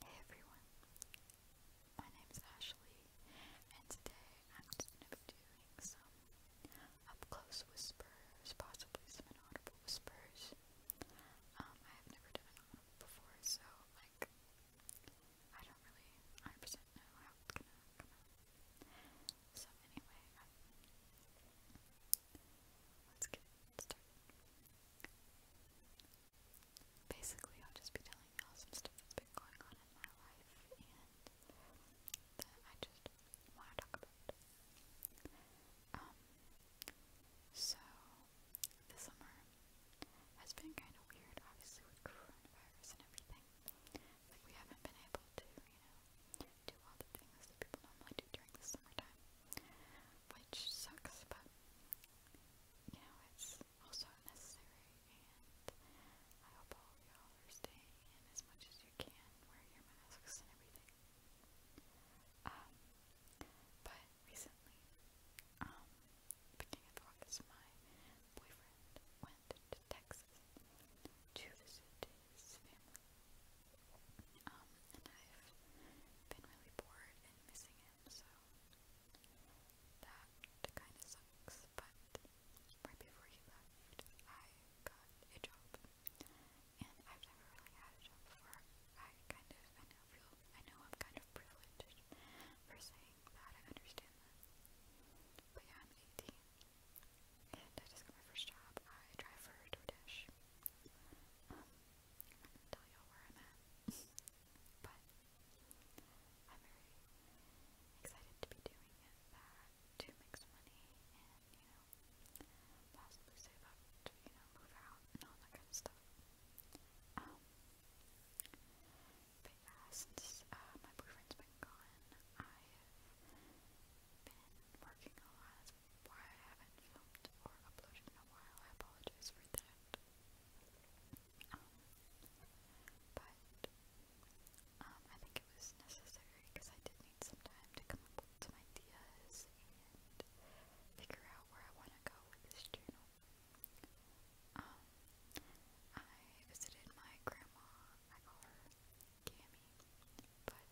Hey everyone, my name is Ashley, and today I'm going to be doing some up close whispers, possibly some inaudible whispers. Um, I have never done an before, so like, I don't really 100 know how it's gonna come out. So, anyway, um, let's get started basically I'll just be telling you some stuff that's been going on in my life and that I just want to talk about. Um, so the summer has been kind of weird, obviously with coronavirus and everything. Like we haven't been able to, you know, do all the things that people normally do during the summertime, which sucks. But you know, it's also necessary, and I hope all y'all are staying in as much as you can, wearing your masks and everything. Um, but recently, beginning of August, my boyfriend went to Texas to visit his family. Um, and I've been really bored and missing it am, so that kind of sucks. But right before he left, I got a job, and I've never really had a job before. I kind of, I know, I am kind of privileged for saying that. I understand that, but yeah, I'm 18, and I just got my first job. I drive for DoorDash. Um, I'm going tell you where I'm at. but I'm very excited to be doing it that to make some money and, you know, possibly save up to, you know, move out and all that kind of stuff. Um, but yeah, since uh, my boyfriend's been gone, I have been working a lot. That's why I haven't filmed or uploaded in a while. I apologize for that. Um, but um, I think it was necessary because I did need some time to come up with some ideas and figure out where I want to go with this channel. Um, I visited my grandma, I call her Cammy, but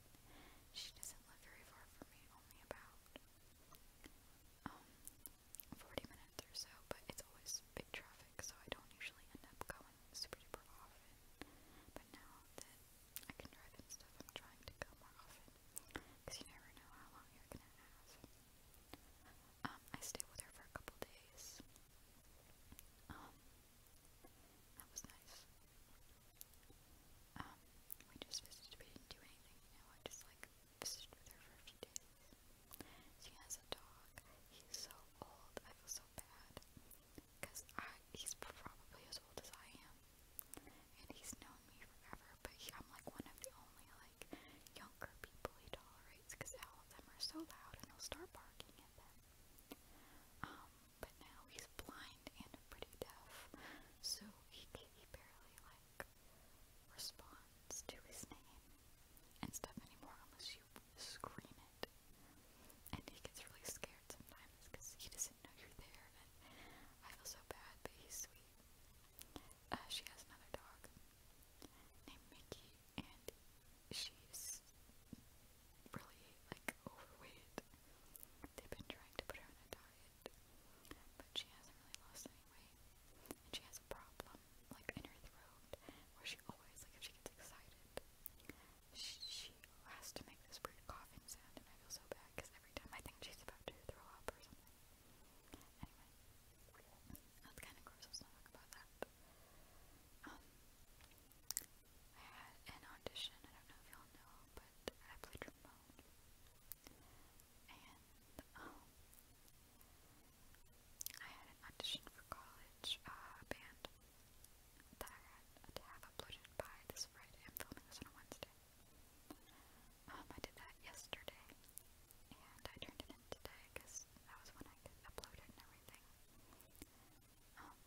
she doesn't live very far from me, only about um, 40 minutes or so, but it's always big traffic, so I don't usually end up going super duper often. But now that I can drive and stuff, I'm trying to go more often, because you never know how long you're gonna have. Um, I stayed with her for a couple days. Um, that was nice. Um, we just visited, we didn't do anything, you know, I just like visited with her for a few days. She has a dog. He's so old. I feel so bad. Because he's probably as old as I am. And he's known me forever, but I'm like one of the only like younger people he tolerates because all of them are so loud and he'll start barking at them. Um, but now he's blind and pretty deaf, so he barely like responds to his name and stuff anymore unless you scream it. And he gets really scared sometimes because he doesn't know you're there, and I feel so bad, but he's sweet. Uh, she has another dog named Mickey, and she's really, like, overweight. They've been trying to put her on a diet, but she hasn't really lost weight. And she has a problem, like in her throat, where she always, like, if she gets excited, she, has to make this weird coughing sound, and I feel so bad because every time I think she's about to throw up or something. Anyway, that's kind of gross, let's not talk about that. Um, I had an audition, I don't know if y'all know, but I played trombone and um, I had an audition for college, uh, band that I had to have uploaded by this Friday. I'm filming this on a Wednesday. Um, I did that yesterday, and I turned it in today because that was when I could and everything. Um,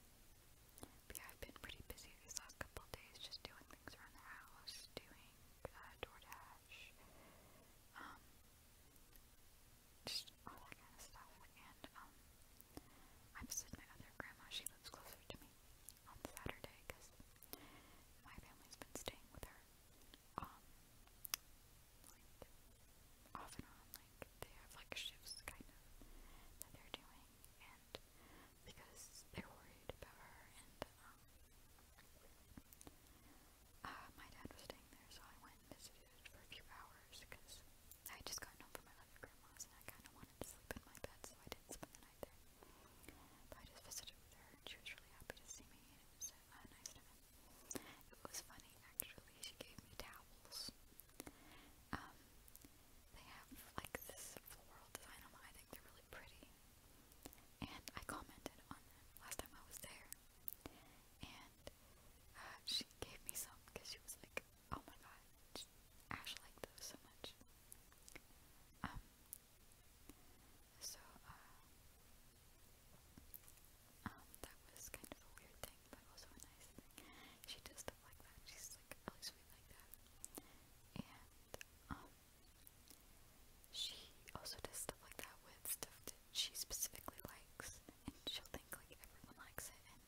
yeah, I've been pretty busy these last couple days, just doing things around the house, doing DoorDash, um, just all that kind of stuff. And um, I visited my other grandma. She lives closer to me on Saturday because my family's been staying with her. Um, like off and on, like they have like shifts kind of that they're doing, and because they're worried about her and um uh, my dad was staying there so I went and visited for a few hours because I just got home from my other grandma's and I kind of wanted to sleep in my bed so I didn't spend the night there. But I just visited with her and she was really happy to see me and it was a uh, nice time. It was funny actually, she gave me towels. Um, they have like this floral design on them. I think they're really pretty. And I commented on them last time I was there. And uh, she gave me some because she was like, oh my god, Ash liked those so much. Um, so, uh, um, that was kind of a weird thing, but also a nice thing. She does stuff like that. She's like really sweet like that. And, um, she also does stuff like that with stuff that she specifically likes, and she'll think like everyone likes it, and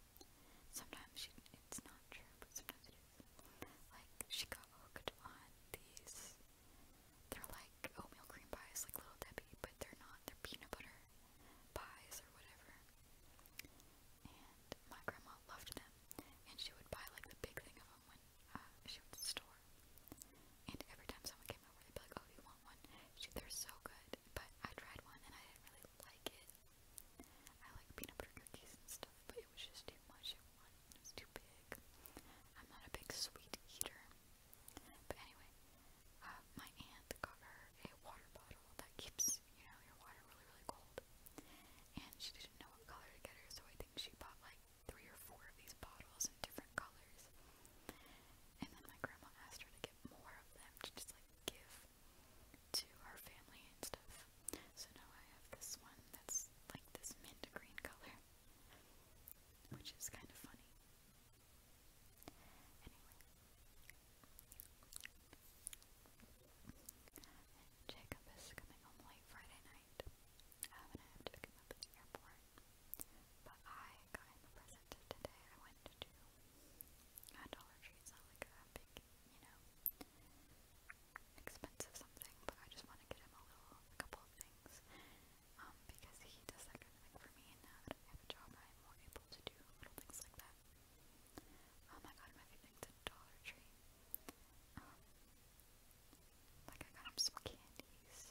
sometimes she, it's not true, but sometimes it is. Like, she got hooked on these, they're like oatmeal cream pies, like Little Debbie, but they're not, they're peanut butter pies or whatever. And my grandma loved them, and she would buy like the big thing of them when uh, she went to the store, and every time someone came over, they'd be like, "Oh, you want one?" She, they're so good, but I tried one and I didn't really like it. I like peanut butter cookies and stuff, but it was just too much at one. It was too big. I'm not a big sweet eater, but anyway, uh, my aunt got her a water bottle that keeps you know your water really really cold, and she didn't know what color to get her, so I think she bought like three or four of these bottles in different colors. And then my grandma asked her to get more of them to just like give to her family and stuff. So now I have this one that's like this mint green color, which is kind of funny. Anyway. Jacob is coming home late Friday night um, and I have to pick him up at the airport. But I got him a present today. I went to Dollar Tree. It's like a big, you know, expensive something, but I just want to get him a little, a couple of things. Um, because he does that kind of thing for me, and now that I have a job, I'm more able to do little things like that. Um, I got him a few Dollar Tree. Um, like, I got him some candies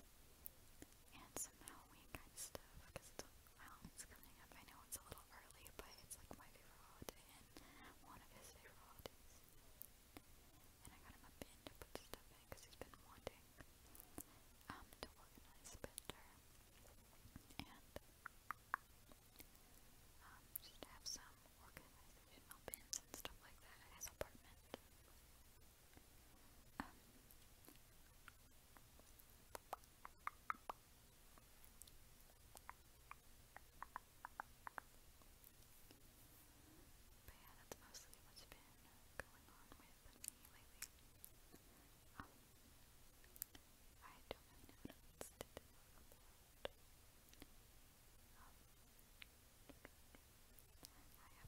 and some Halloween kind of stuff because Halloween's coming up. I know it's a little early, but it's like my favorite holiday and one of his favorite holidays. And I got him a bin to put stuff in because he's been wanting um, to organize better and um, just have some um, organizational bins and stuff like that in his apartment. Um, but yeah, that's mostly what's been going on with me lately. Um, I don't really know what else to do. Um, I haven't really done anything in a while, so I don't know how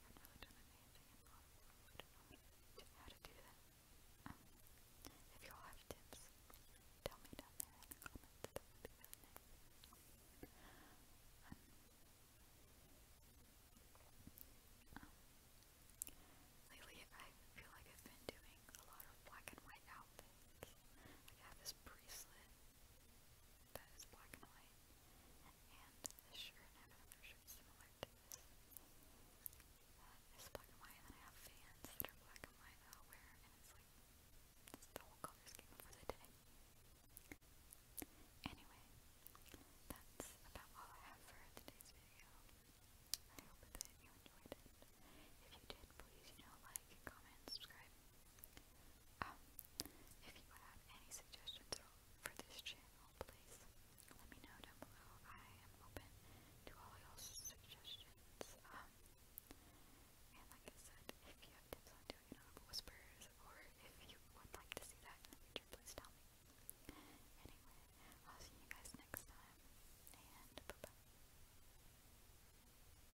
to do that. if y'all have tips, tell me down in the comments, lately I feel like I've been doing a lot of black and white outfits. I have this bracelet that is black and white, and this shirt, I have another shirt similar to this, that is black and white, and then I have fans that are black and white that i wear, and it's like, the whole color scheme for the day. Anyway, that's about all I have for today's video. I hope that you enjoyed it. If you did, please, you know, like, comment, subscribe. Um, if you have any suggestions for this channel, please let me know down below. I am open to all you suggestions. Um, and like I said, if you have tips on doing audible whispers, or if you would like to see that in the future, please tell me. Anyway, I'll see you guys next time, and bye.